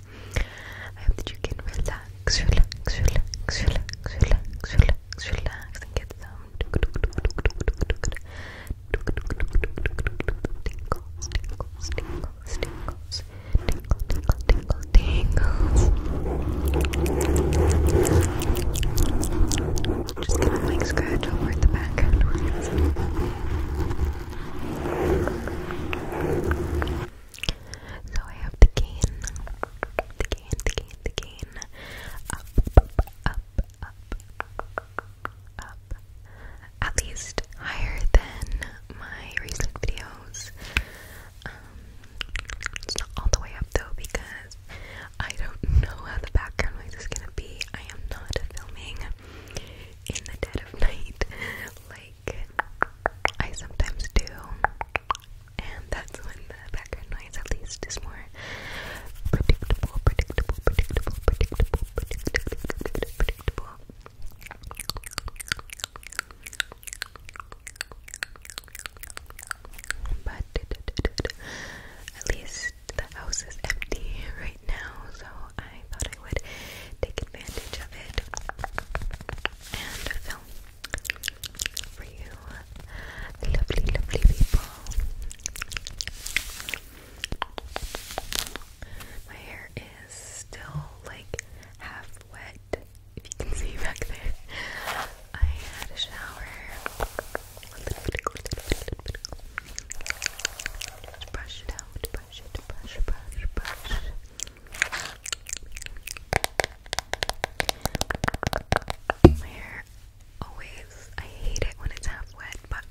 I hope that you can relax, relax, relax, relax, relax, relax, relax, and get some tingles, tingles, tingles, tingles, tingle, tingle, tingle, tingles. Just give to a scratch over the background. So I have the cane, the cane, the cane, the cane, up, up, up, up, at least higher than my recent videos. Um, it's not all the way up though because I don't know how the background noise is gonna be. I am not filming in the dead of night, like I sometimes do, and that's when the background noise at least is more predictable, predictable, predictable, predictable, predictable, predictable. predictable. But at least the house is empty right? now, so I thought I would take advantage of it and film for you, lovely, lovely people. My hair is still like half wet, if you can see back there. I had a shower. A little brush it out brush it, brush, brush, brush. My hair always, I hate it when it's half wet, but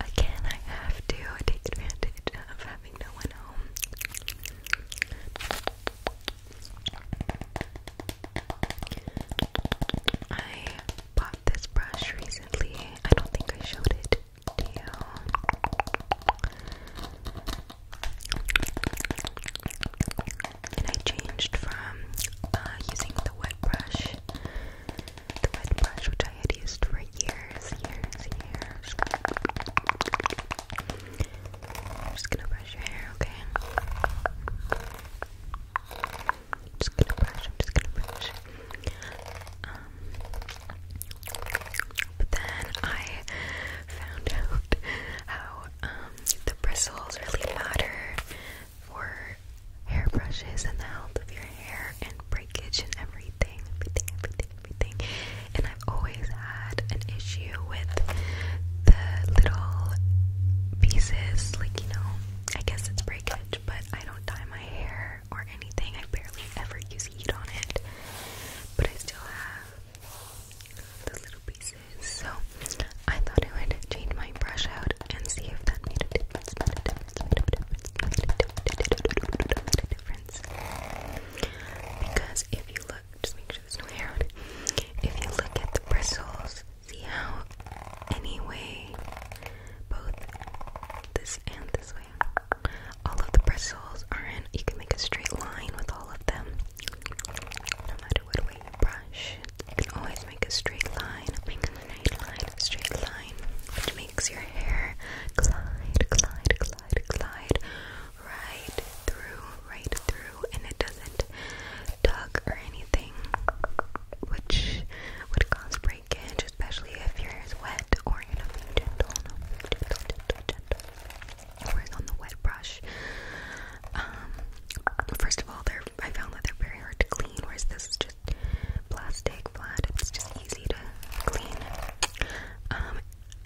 again, I have to take advantage of having no one home. I bought this brush recently. I don't think I showed it to And I changed from uh, using the wet brush, the wet brush which I had used for years, years, years. just gonna brush your hair, okay? just gonna brush, just gonna brush. Um, but then I found out how um, the bristles really matter for hairbrushes and the health of your hair and breakage and everything, everything, everything, everything. And I've always had an issue with the little pieces, like you know, I guess it's breakage, but I don't dye my hair or anything. I barely ever use heat on it, but I still have the little pieces. So I thought I would change my brush out and see if that made a difference. Because if you look, just make sure there's no hair If you look at the bristles, see how any both this and this way. All of the bristles are in, you can make a straight line with all of them. No matter what way you brush, you can always make a straight line. straight line, straight line, which makes your hair glide, glide, glide, glide right through, right through, and it doesn't tug or anything, which would cause breakage especially if your hair is wet or you're not being gentle. No, gentle, gentle, gentle. Whereas on the wet brush, um, first of all, I found that they're very hard to clean. Whereas this is just plastic flat; it's just easy to clean. Um,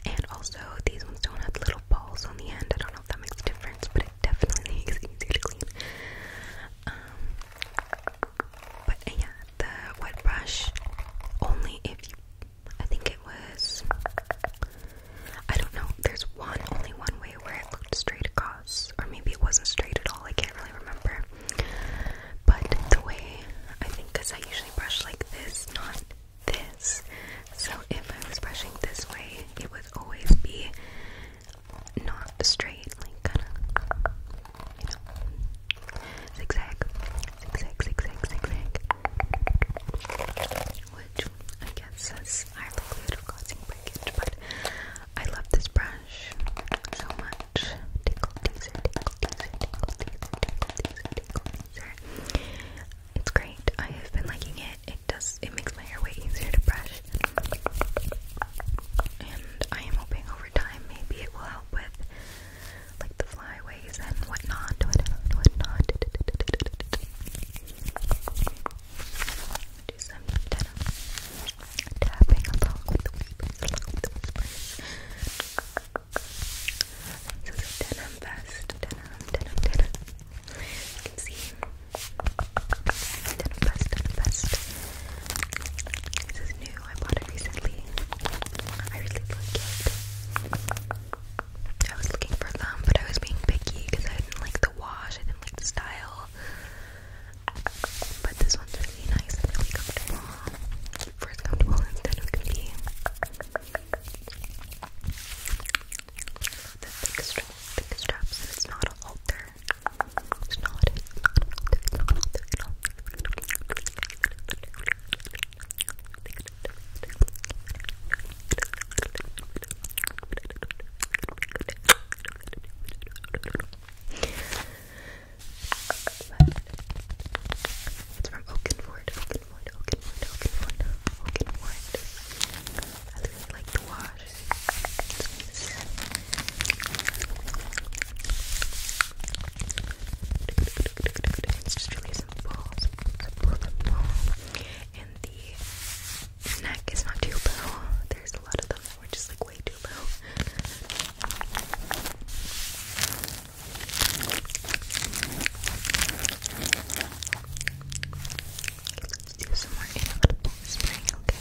and also these ones don't have little balls on the end. I don't know if that makes a difference, but it definitely makes it easier to clean. Um, but yeah, the wet brush only if you. I think it was. I don't know. There's one, only one way where it looked straight across. Or maybe it wasn't straight at all. I can't really remember. But the way I think, I usually brush like this, not this. So if I was brushing this way, it would always be not straight, like kind of, you know, zigzag, zigzag, zigzag, zigzag. Which I guess is likelihood of causing breakage, but I love this brush so much. It's great. I have been liking it. It does. It makes my hair way easier to brush. And I am hoping over maybe it will help with like the flyaways and whatnot, whatnot, whatnot. Do some denim tapping along with the whispers, along with denim vest, denim, denim, denim. see denim vest, denim vest. This is new. I bought it recently. I really like it. I was looking for them, but I was being picky because I didn't like the wash. I didn't like the style. But this one's really nice and really comfortable. First comfortable instead of comfy. The thick, strap, thick straps, it's not a halter. It's not It's from Oakenford, Oakenford, Oakenford, Oakenford, Oakenford. I really like the wash. It's just really simple, And the neck is not too low. There's a lot of them that were just like way too low. let's do some more inevitable spring, okay?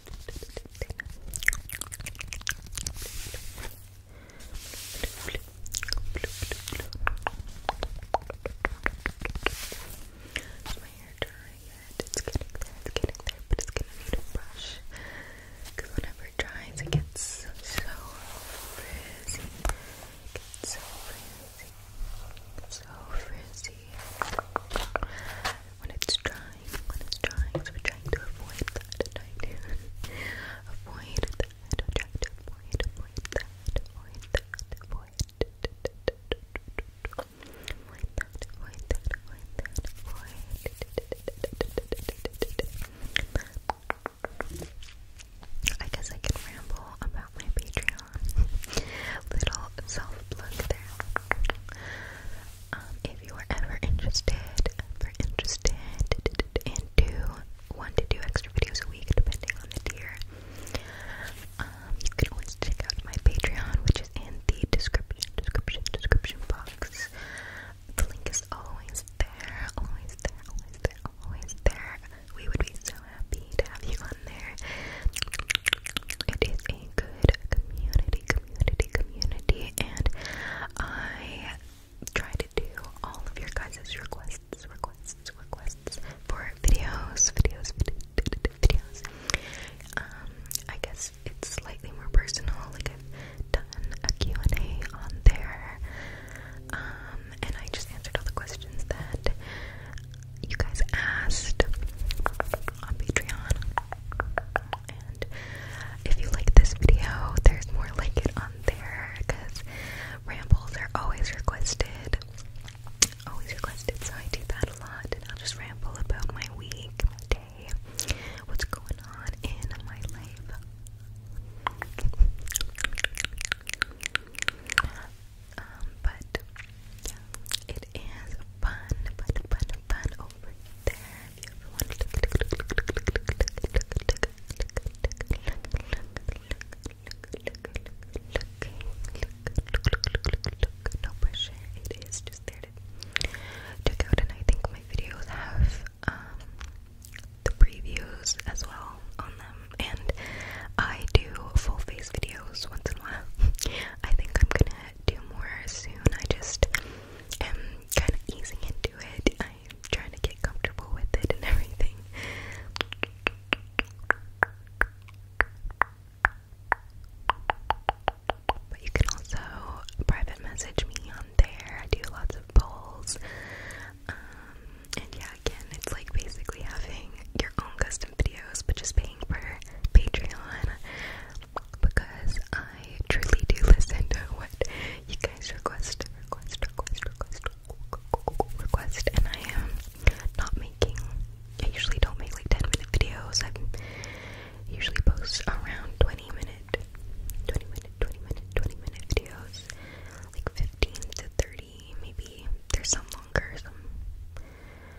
Is my hair dry yet? It's getting there, it's getting there, but it's gonna need a brush. Because whenever it dries, it gets so, so frizzy. It gets so frizzy. So frizzy when it's trying, when it's drying, we're trying to avoid that, trying to avoid that, avoid, that, avoid that, avoid that, avoid that, avoid that, avoid that, I guess I could ramble about my Patreon. Little self plug there um, if you are ever interested, ever interested and do one to two extra videos a week depending on the tier, um, you can always check out my Patreon, which is in the description, description, description box. The link is always there, always there, always there, always there. We would be so happy to have you on there. It is a good community, community, community, and I try to do all of your guys' requests, requests, requests for videos, videos, videos. Um, I guess it's slightly more personal, like I've done a Q&A on there, um, and I just answered all the questions that you guys asked on Patreon, if you like this video, there's more like it on there because rambles are always requested. Always requested, so I do that a lot. And I'll just ramble about my week, my day, what's going on in my life. Um, but it is fun, fun, fun, fun over there if you no pressure, it is just there to check out, and I think my videos have, the previews as well on them, and I do full face videos once in a while, I think I'm gonna do more soon. I just am kind of easing into it. I'm trying to get comfortable with it and everything. But you can also private message me on there. I do lots of polls. Um, and yeah, again, it's like basically having your own custom videos, but just paying for Patreon because I truly do listen to what you guys request, request, request, request, request, and I am not making, I usually don't make like 10 minute videos, I usually post around 20 minute, 20 minute, 20 minute, 20 minute videos, like 15 to 30 maybe, there's some longer,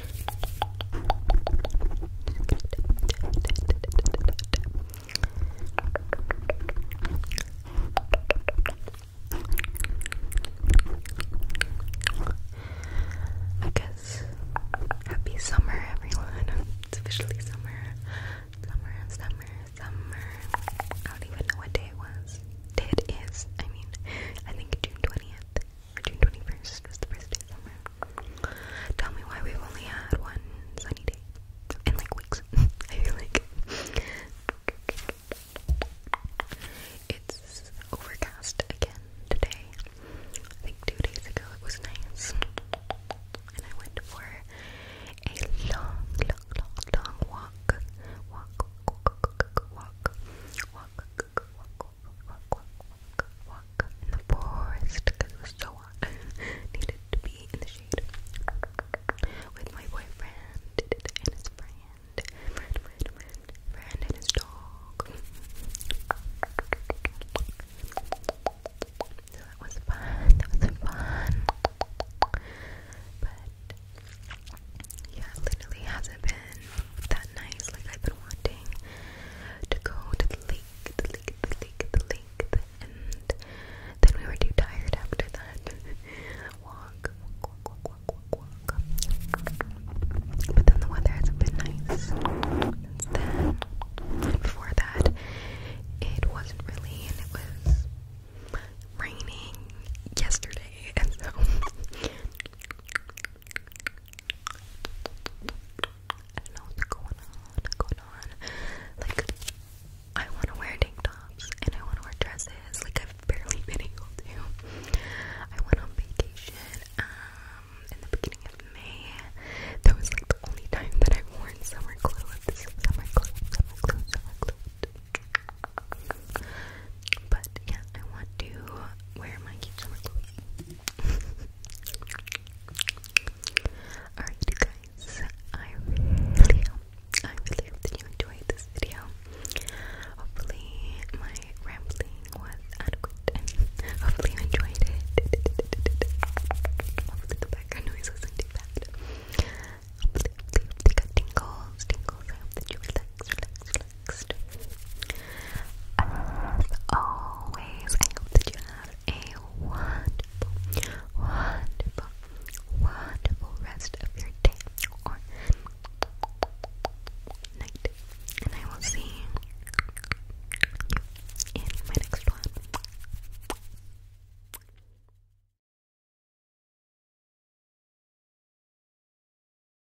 I guess happy summer, everyone. It's officially summer. Summer, summer, summer. I don't even know what day it was. Day it is. I mean, I think June 20th. June 21st was the first day Tell me why we've only had one sunny day in like weeks. I feel like it's overcast again today. I think two days ago it was nice, and I went for a long, long, long, long walk, walk, walk, walk, walk, walk, walk, in the forest it was so hot. Needed to be in the shade with my boyfriend and his friend, friend, friend, friend, friend and his dog. So that was fun. That was fun. But yeah, literally hasn't been that nice. Like I've been wanting to go to the lake, the lake, the lake, the lake, and then we were too tired after that walk, But then the weather hasn't been nice then. before that, it wasn't really, and it was raining yesterday, and so I don't know what's going on, Like, I want to wear tank tops and I want to wear dresses. Like, I've barely been able to. I went on vacation um, in the beginning of May. That was like the only time that I've summer clothes. Summer clothes, summer clothes, summer clothes. But yeah, I want to wear my cute summer clothes. Alright guys, I really hope, that you enjoyed this video. Hopefully my rambling was adequate hopefully you enjoyed it. Hopefully the background noise wasn't too bad. Hopefully, hopefully, hopefully you I hope that you relax, relax, as always, I hope that you have a wonderful, wonderful, wonderful rest of your day or night. And I will see you in my next one.